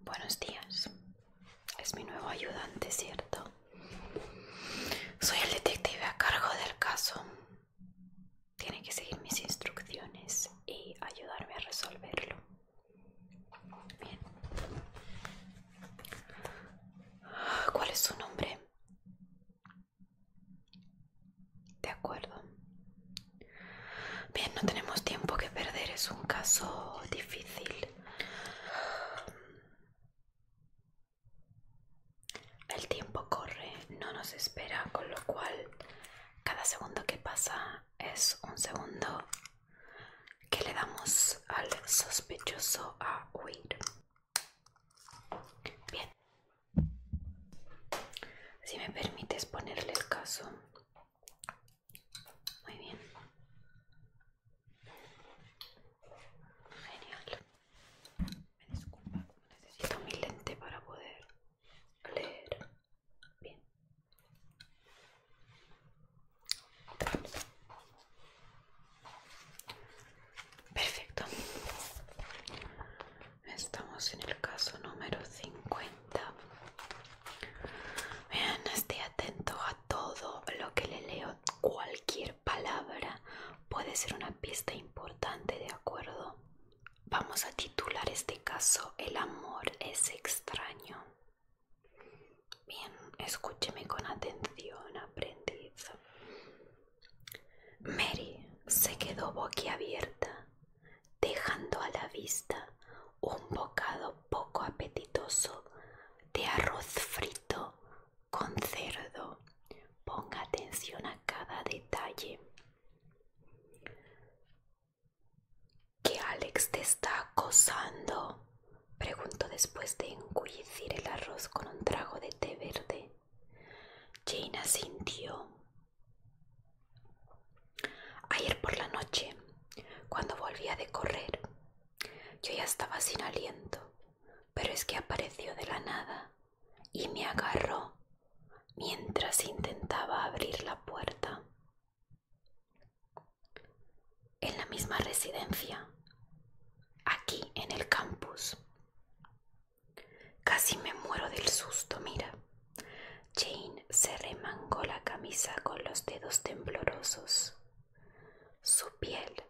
Buenos días. Es mi nuevo ayudante, ¿cierto? Soy el detective a cargo del caso. Tiene que seguir mis instrucciones y ayudarme a resolverlo. Bien. ¿Cuál es su nombre? De acuerdo. Bien, no tenemos tiempo que perder, es un caso difícil. El tiempo corre, no nos espera, con lo cual cada segundo que pasa es un segundo que le damos al sospechoso a huir. Bien. Si me permites ponerle el caso, muy bien. Genial. Me disculpa, necesito mi lente para poder leer. Bien. Perfecto. Estamos en el caso número 50 no esté atento a todo lo que le leo. Cualquier palabra puede ser una pista importante, ¿de acuerdo? Vamos a titular este caso El amor es extraño. Bien, escúcheme con atención, aprendiz. Mary se quedó boquiabierta dejando a la vista un bocado poco apetitoso de arroz frito con cerdo. Ponga atención a cada detalle ¿Qué Alex te está acosando? Preguntó después de engullircir el arroz con un trago de té verde. Jane sintió Ayer por la noche, cuando volvía de correr, yo ya estaba sin aliento, pero es que apareció de la nada y me agarró mientras intentaba abrir la puerta. En la misma residencia, aquí en el campus. Casi me muero del susto, mira. Jane se remangó la camisa con los dedos temblorosos. Su piel,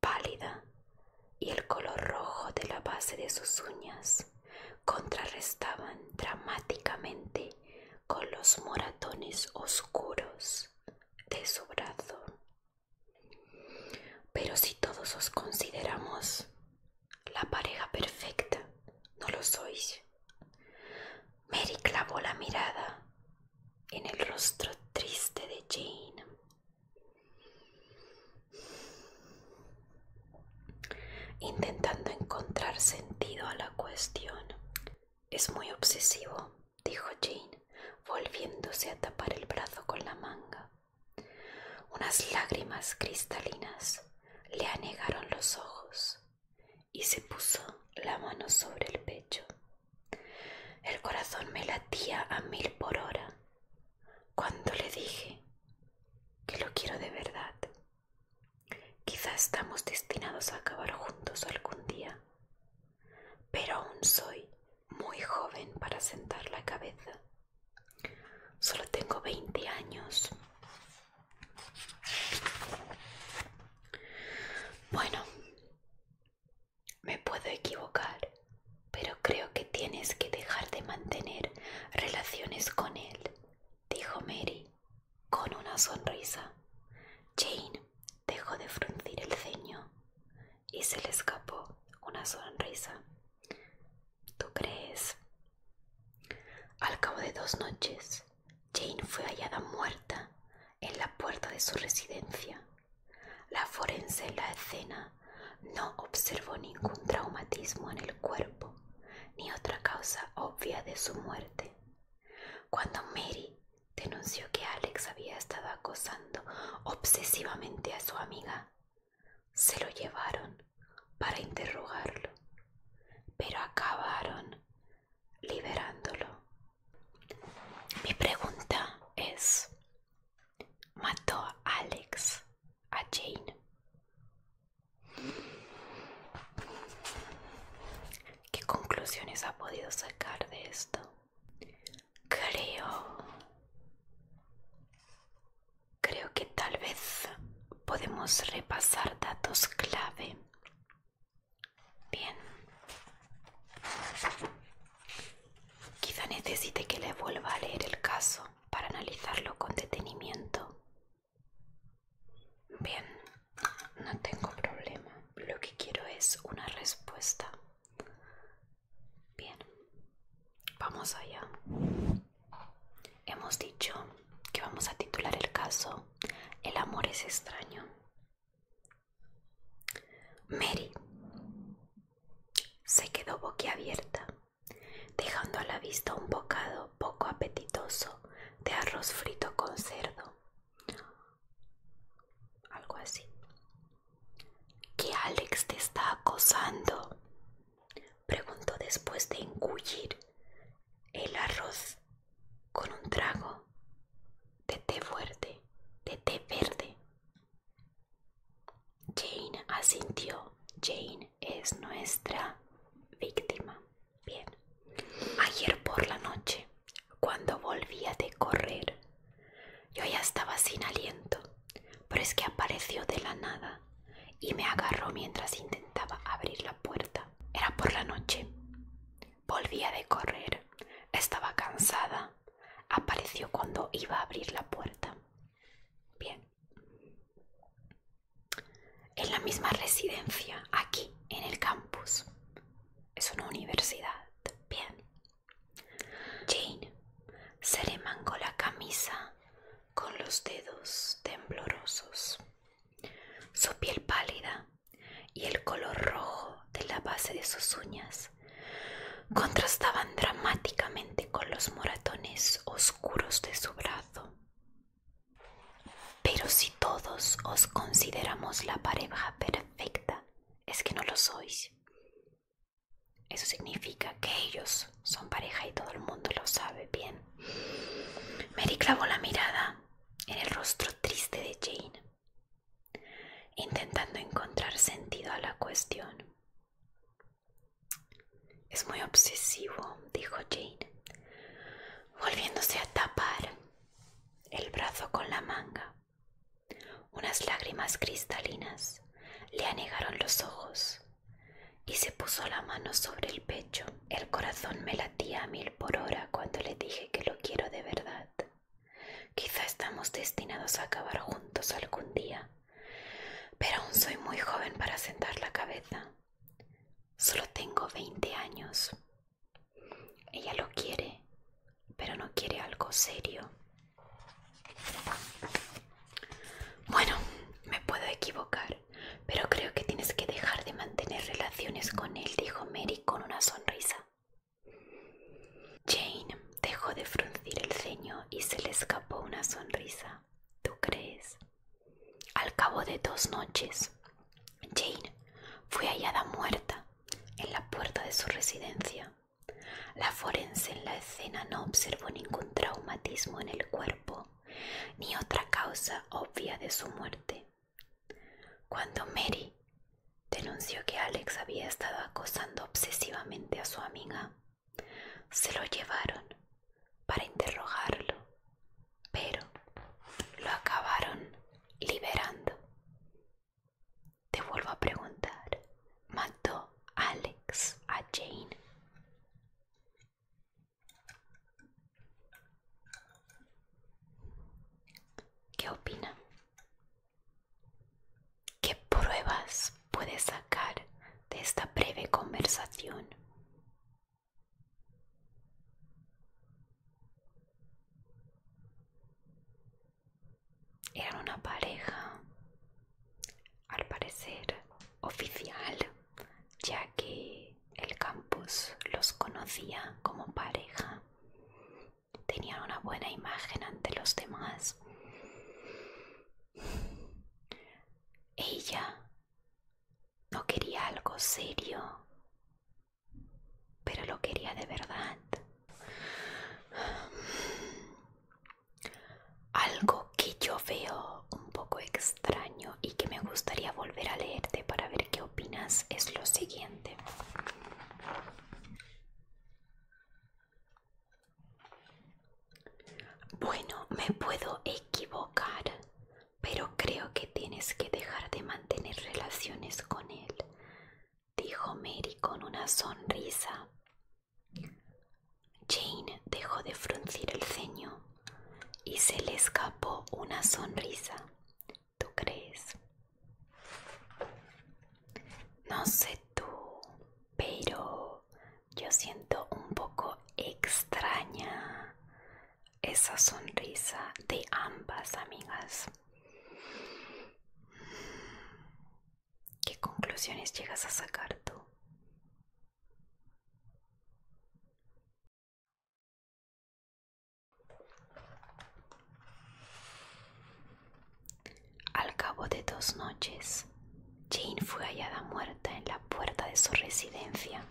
pálida, y el color rojo de la base de sus uñas contrarrestaban dramáticamente con los moratones oscuros de su brazo. Pero si todos os consideramos, la pareja perfecta, no lo sois. Mary clavó la mirada en el rostro triste de Jane. Intentando encontrar sentido a la cuestión. Es muy obsesivo, dijo Jane, volviéndose a tapar el brazo con la manga. Unas lágrimas cristalinas le anegaron los ojos y se puso la mano sobre el pecho. El corazón me latía a mil por hora cuando le dije que lo quiero de verdad. Quizá estamos destinados a acabar juntos algún día, pero aún soy muy joven para sentar la cabeza. Solo tengo 20 años bueno, me puedo equivocar, pero creo que tienes que dejar de mantener relaciones con él, dijo Mary con una sonrisa. Jane dejó de fruncir el ceño y se le escapó una sonrisa. ¿Tú crees? Al cabo de dos noches, Jane fue hallada muerta en la puerta de su residencia. La forense en la escena no observó ningún traumatismo en el cuerpo ni otra causa obvia de su muerte. Cuando Mary denunció que Alex había estado acosando obsesivamente a su amiga, se lo llevaron para interrogarlo, pero acabaron liberándolo. Mi pregunta es, ¿mató a Alex a Jane? ¿Qué conclusiones ha podido sacar de esto? Creo Creo que tal vez podemos repasar datos clave. Bien. Quizá necesite que le vuelva a leer el caso para analizarlo con detenimiento. Bien, no tengo problema. Lo que quiero es una respuesta. Bien, vamos allá. Hemos dicho que vamos a titular el caso El amor es extraño. Mary se quedó boquiabierta, dejando a la vista un bocado poco apetitoso de arroz frito con cerdo. Algo así. Que Alex te está acosando, preguntó después de engullir el arroz con un trago de té fuerte, de té verde. Jane asintió. Jane es nuestra víctima. Bien. Ayer por la noche, cuando volvía de correr, yo ya estaba sin aliento pero es que apareció de la nada y me agarró mientras intentaba abrir la puerta. Era por la noche. Volvía de correr. Estaba cansada. Apareció cuando iba a abrir la puerta. Bien. En la misma residencia, aquí, en el campus. Es una universidad. Bien. Jane se le remangó la camisa con los dedos temblorosos. Su piel pálida y el color rojo de la base de sus uñas contrastaban dramáticamente con los moratones oscuros de su brazo. Pero si todos os consideramos la pareja perfecta, es que no lo sois. Eso significa que ellos son pareja y todo el mundo lo sabe bien. Mary clavó la mirada en el rostro triste de Jane, intentando encontrar sentido a la cuestión. Es muy obsesivo, dijo Jane, volviéndose a tapar el brazo con la manga. Unas lágrimas cristalinas le anegaron los ojos y se puso la mano sobre el pecho. El corazón me latía a mil por hora cuando le dije que lo quiero de verdad. Quizá estamos destinados a acabar juntos algún día, pero aún soy muy joven para sentar la cabeza. Solo tengo veinte años. Ella lo quiere, pero no quiere algo serio. Bueno, me puedo equivocar, pero creo que tienes que dejar de mantener relaciones con él, dijo Mary con una sonrisa. Jane dejó de fruncir el ceño y se le escapó una sonrisa. ¿Tú crees? Al cabo de dos noches, Jane fue hallada muerta en la puerta de su residencia. La forense en la escena no observó ningún traumatismo en el cuerpo, ni otra causa obvia de su muerte. Cuando Mary denunció que Alex había estado acosando obsesivamente a su amiga, se lo llevaron para interrogarlo, pero lo acabaron liberando. Te vuelvo a preguntar, ¿mató Alex a Jane? ¿Qué opina? ¿Qué pruebas puedes sacar de esta breve conversación? Eran una pareja al parecer oficial, ya que el campus los conocía como pareja. Tenían una buena imagen ante los demás. Ella no quería algo serio, pero lo quería de verdad. Algo que yo veo un poco extraño y que me gustaría volver a leerte para ver qué opinas es lo siguiente. Bueno, me puedo equivocar, pero creo que tienes que dejar de mantener relaciones con él, dijo Mary con una sonrisa. Jane dejó de fruncir el ceño y se le escapó una sonrisa. ¿Tú crees? No sé tú, pero yo siento un poco extraña esa sonrisa de ambas amigas. ¿Qué conclusiones llegas a sacar tú? Al cabo de dos noches, Jane fue hallada muerta en la puerta de su residencia.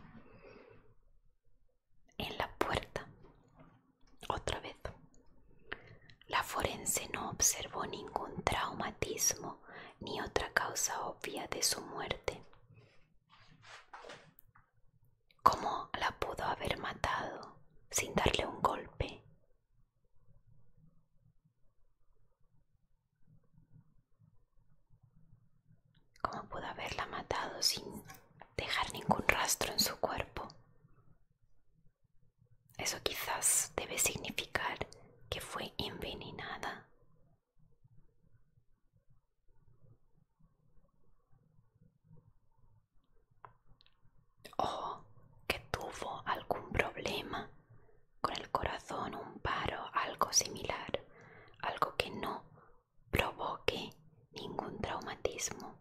En la puerta. Otra vez. La forense no observó ningún traumatismo ni otra causa obvia de su muerte. ¿Cómo la pudo haber matado sin darle un golpe? ¿Cómo pudo haberla matado sin dejar ningún rastro en su cuerpo? Eso quizás debe significar que fue envenenada. O que tuvo algún problema con el corazón, un paro, algo similar, algo que no provoque ningún traumatismo.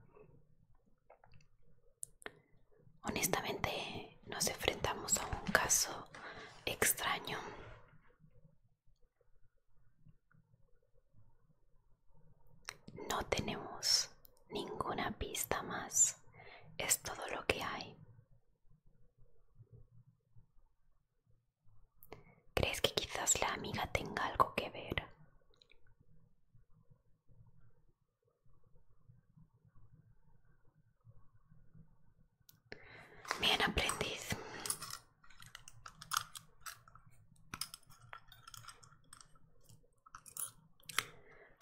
Honestamente, nos enfrentamos a un caso extraño. No tenemos ninguna pista más. Es todo lo que hay. ¿Crees que quizás la amiga tenga algo que ver? Bien, aprendiz.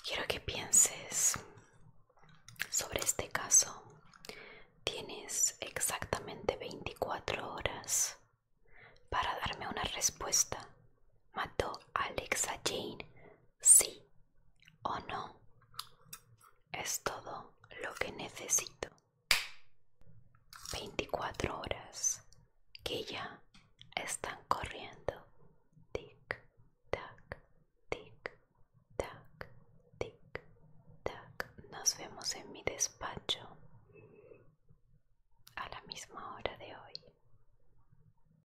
Quiero que pienses sobre este caso. Tienes exactamente 24 horas para darme una respuesta. ¿Mató Alexa Jane? Sí ¿O no? Es todo lo que necesito. 24 horas que ya están corriendo. Tic, tac, tic, tac, tic, tac. Nos vemos en mi despacho a la misma hora de hoy.